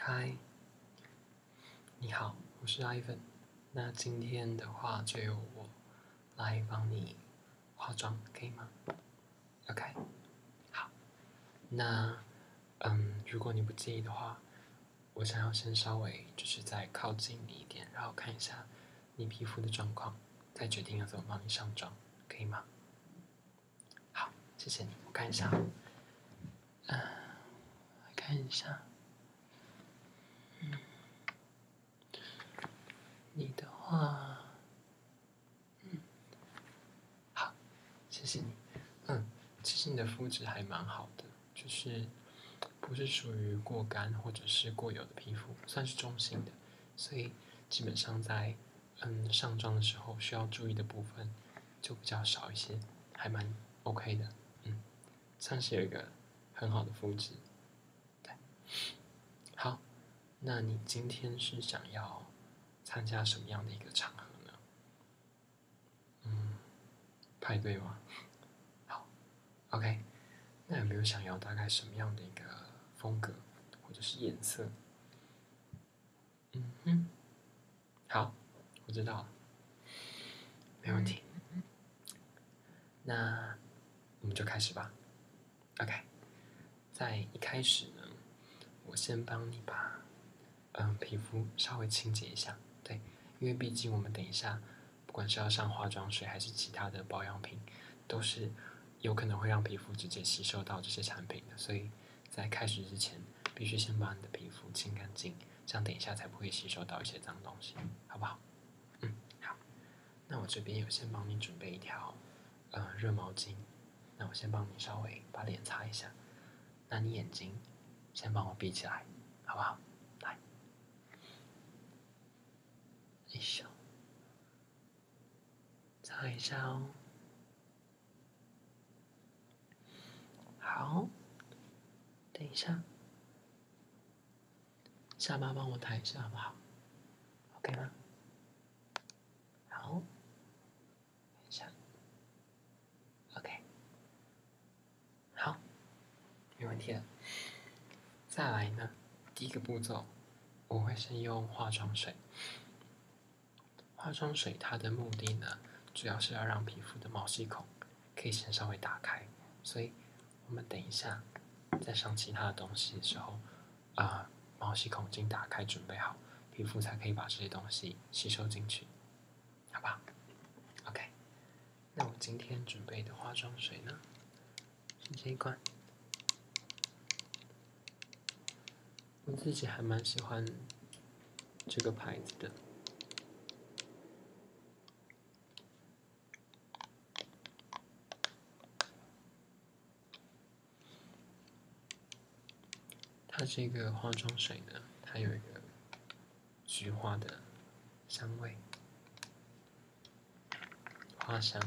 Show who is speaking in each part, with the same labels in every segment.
Speaker 1: 嗨，你好，我是 Ivan，那今天的话就由我来帮你化妆，可以吗？OK，好，那嗯，如果你不介意的话，我想要先稍微就是再靠近你一点，然后看一下你皮肤的状况，再决定要怎么帮你上妆，可以吗？好，谢谢你。我看一下，嗯，看一下，嗯，你的话，嗯，好，谢谢你。嗯，其实你的肤质还蛮好的，就是不是属于过干或者是过油的皮肤，算是中性的，所以基本上在嗯上妆的时候需要注意的部分。就比较少一些，还蛮 OK 的，嗯，算是有一个很好的素质，对，好，那你今天是想要参加什么样的一个场合呢？嗯，派对吗？好，OK，那有没有想要大概什么样的一个风格或者是颜色？嗯好，我知道，没问题。那我们就开始吧。OK，在一开始呢，我先帮你把嗯皮肤稍微清洁一下，对，因为毕竟我们等一下不管是要上化妆水还是其他的保养品，都是有可能会让皮肤直接吸收到这些产品的，所以。在开始之前，必须先把你的皮肤清干净，这样等一下才不会吸收到一些脏东西，好不好？嗯，好。那我这边有先帮你准备一条，呃，热毛巾。那我先帮你稍微把脸擦一下。那你眼睛，先帮我闭起来，好不好？来，一下，擦一下哦。好，等一下，下巴帮我抬一下，好不好？OK 吗？好，等一下，OK，好，没问题了。再来呢，第一个步骤，我会先用化妆水。化妆水它的目的呢，主要是要让皮肤的毛细孔可以先稍微打开，所以我们等一下再上其他的东西的时候，啊，毛细孔经打开准备好，皮肤才可以把这些东西吸收进去，好不好？OK，那我今天准备的化妆水呢，是这一罐。我自己还蛮喜欢这个牌子的，它这个化妆水呢，它有一个菊花的香味，花香。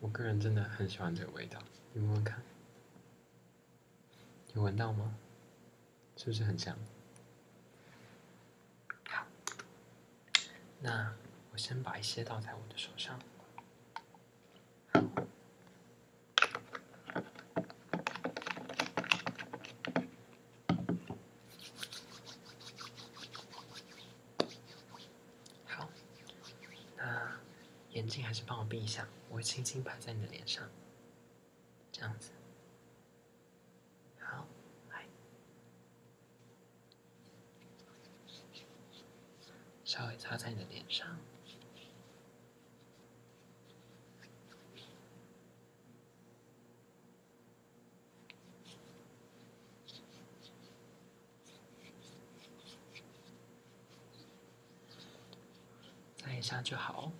Speaker 1: 我个人真的很喜欢这个味道，你闻闻看，有闻到吗？是不是很香？好，那我先把一些倒在我的手上。好，那眼睛还是帮我闭一下，我会轻轻拍在你的脸上，这样子。好，来，稍微擦在你的脸上。擦一下就好。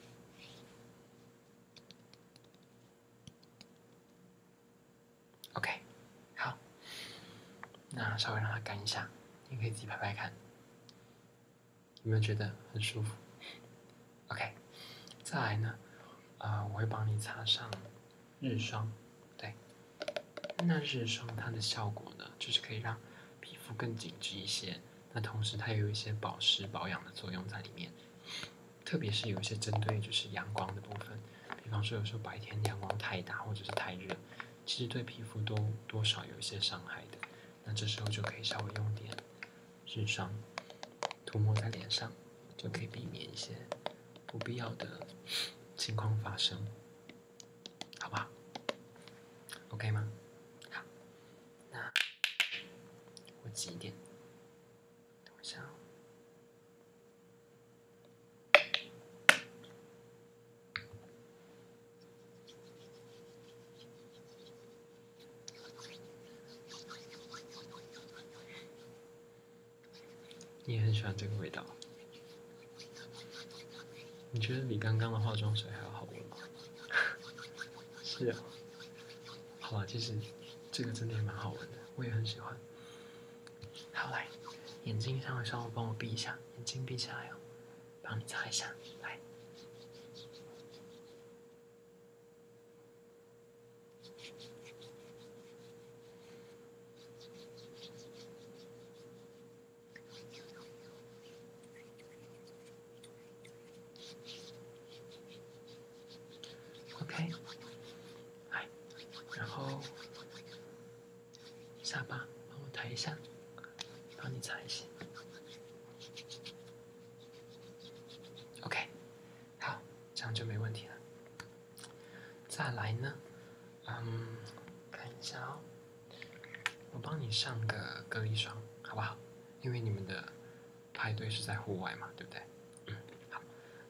Speaker 1: OK，好，那稍微让它干一下，你可以自己拍拍看，有没有觉得很舒服？OK，再来呢，啊，我会帮你擦上日霜，对。那日霜它的效果呢，就是可以让皮肤更紧致一些。那同时它也有一些保湿保养的作用在里面，特别是有一些针对就是阳光的部分，比方说有时候白天阳光太大或者是太热，其实对皮肤都多少有一些伤害的。那这时候就可以稍微用点日霜，涂抹在脸上，就可以避免一些不必要的情况发生。好不好？OK 吗？好，那我挤一点，等一下啊。你也很喜欢这个味道，你觉得比刚刚的化妆水还要好闻吗？是啊，好吧，其实这个真的也蛮好闻的，我也很喜欢。好来，眼睛稍微稍微帮我闭一下，眼睛闭起来哦，帮你擦一下，来。OK，来，然后下巴帮我抬一下，帮你擦一下。OK，好，这样就没问题了。再来呢？嗯，看一下哦，我帮你上个隔离霜，好不好？因为你们的派对是在户外嘛，对不对？嗯，好，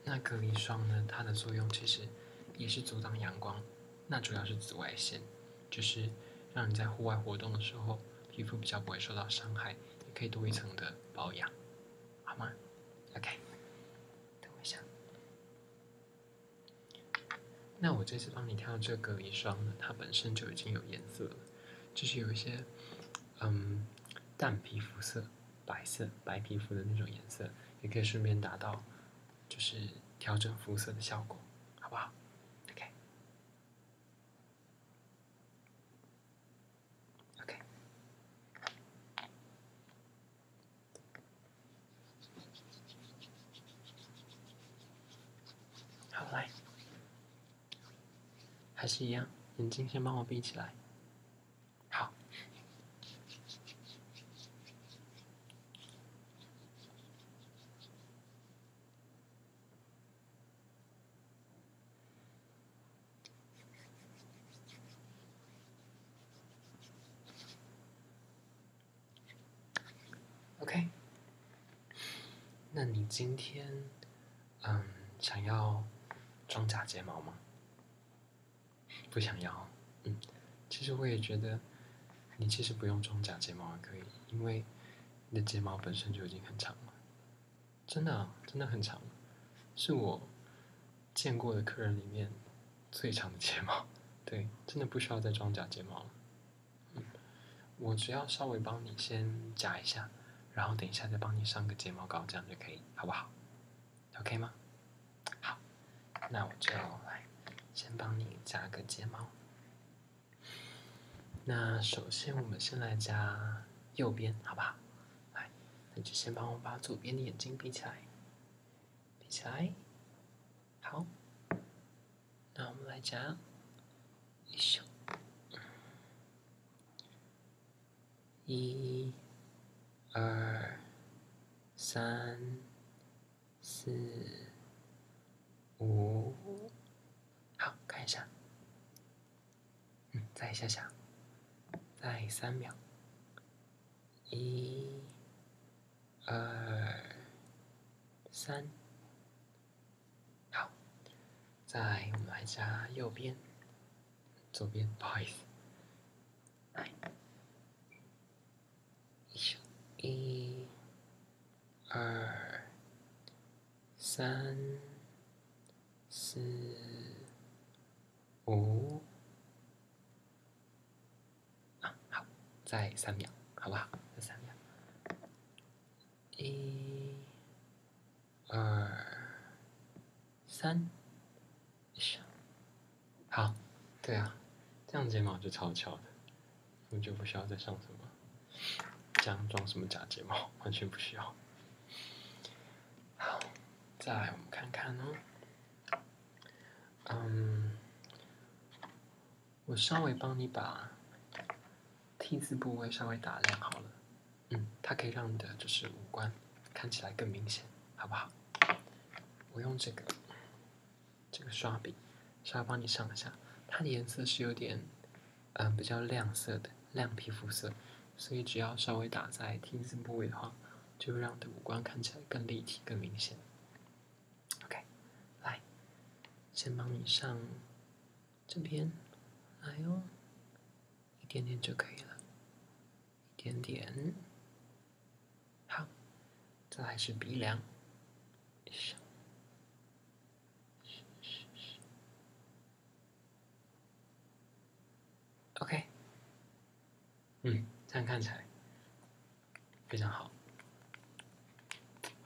Speaker 1: 那隔离霜呢，它的作用其实也是阻挡阳光，那主要是紫外线，就是让你在户外活动的时候，皮肤比较不会受到伤害，也可以多一层的保养，好吗？OK，等我一下。那我这次帮你挑这个一双呢，它本身就已经有颜色了，就是有一些，嗯，淡皮肤色、白色、白皮肤的那种颜色，也可以顺便达到，就是调整肤色的效果，好不好？OK，OK。好嘞，还是一样，眼睛先帮我闭起来，好。OK，那你今天嗯想要装假睫毛吗？不想要，嗯，其实我也觉得你其实不用装假睫毛也可以，因为你的睫毛本身就已经很长了，真的真的很长，是我见过的客人里面。最长的睫毛，对，真的不需要再装假睫毛了。嗯，我只要稍微帮你先夹一下，然后等一下再帮你上个睫毛膏，这样就可以，好不好？OK 吗？好，那我就来先帮你夹个睫毛。那首先我们先来夹右边，好不好？来，那就先帮我把左边的眼睛闭起来，闭起来。好，那我们来讲，一、二、三、四、五，好看一下，嗯，再想想，再三秒，一。二三，好，在我们来加右边，左边不好意思，来，一、二、三、四、五。啊，好，再三秒，好不好？再三秒，一、二、三，好，对啊，这样睫毛就超翘的，我就不需要再上什么，这样装什么假睫毛，完全不需要。好，再来，我们看看哦，嗯。我稍微帮你把 T 字部位稍微打亮好了，嗯，它可以让你的就是五官看起来更明显，好不好？我用这个这个刷笔稍微帮你上一下，它的颜色是有点嗯比较亮色的亮皮肤色，所以只要稍微打在 T 字部位的话，就让你的五官看起来更立体更明显。OK，来，先帮你上这边，来哦，一点点就可以了，一点点，好，再是鼻梁，o k 嗯，这样看起来。非常好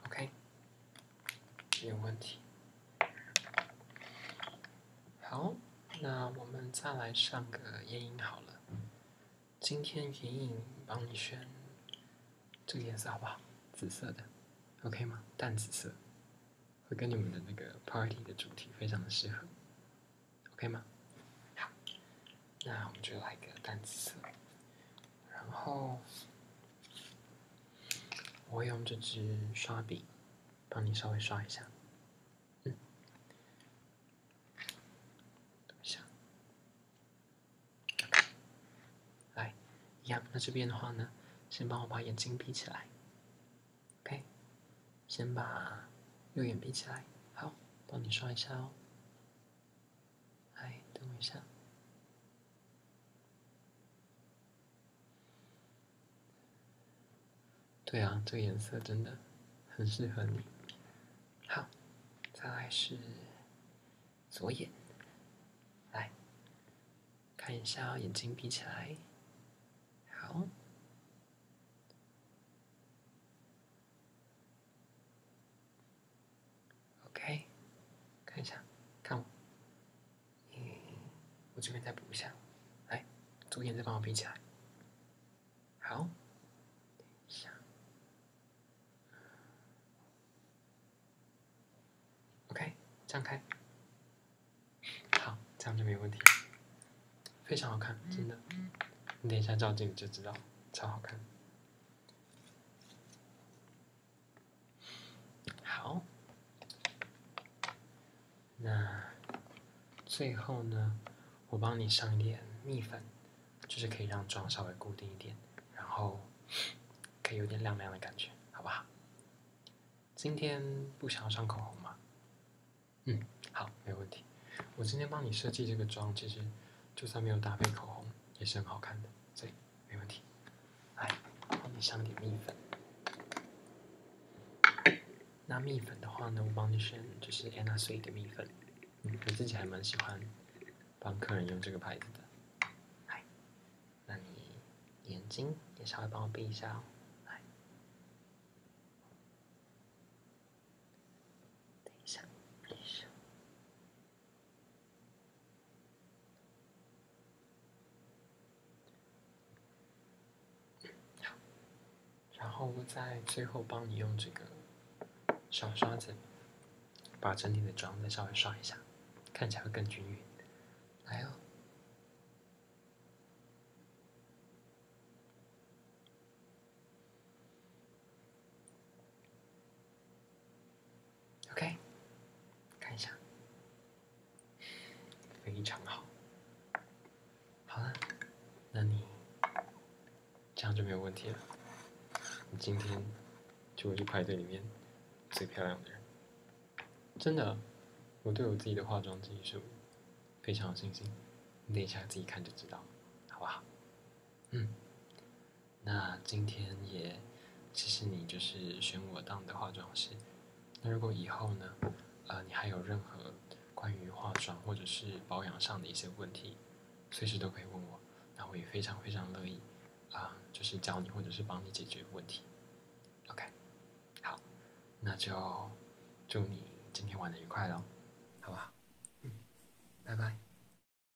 Speaker 1: ，OK，没有问题。好，那我们再来上个眼影好了。今天眼影帮你选，这个颜色好不好？紫色的，OK 吗？淡紫色，会跟你们的那个 party 的主题非常的适合，OK 吗？好。那我们就来个单词，色，然后我用这支刷笔帮你稍微刷一下，嗯，等一下，来，一样。那这边的话呢，先帮我把眼睛闭起来，OK，先把右眼闭起来，好，帮你刷一下哦。哎，等我一下。对啊，这个颜色真的很适合你。好，再来是左眼，来看一下眼睛闭起来，好。OK，看一下，看，嗯，我这边再补一下，来，左眼再帮我拼起来，好，等一下，OK，张开，好，这样就没问题，非常好看，真的，你等一下照镜子就知道，超好看。好，那最后呢，我帮你上一点蜜粉，就是可以让妆稍微固定一点，然后可以有点亮亮的感觉，好不好？今天不想要上口红吗？嗯，好，没问题。我今天帮你设计这个妆，其实就算没有搭配口红，也是很好看的。对，没问题。来，帮你上点蜜粉。那蜜粉的话呢，我帮你选就是安娜瑞的蜜粉，我自己还蛮喜欢帮客人用这个牌子的。好，那你眼睛也稍微帮我闭一下哦。等一下，闭然后在最后帮你用这个小刷子把整体的妆再稍微刷一下，看起来会更均匀。来哦。OK，看一下，非常好，好了，那你这样就没有问题了。你今天就会去派对里面最漂亮的人，真的，我对我自己的化妆技术非常有信心，你等一下自己看就知道，好不好？嗯。那今天也，其实你就是选我当的化妆师。那如果以后呢，呃，你还有任何关于化妆或者是保养上的一些问题，随时都可以问我，那我也非常非常乐意啊，就是教你或者是帮你解决问题。OK，好，那就祝你今天玩的愉快喽，好不好？嗯，拜拜。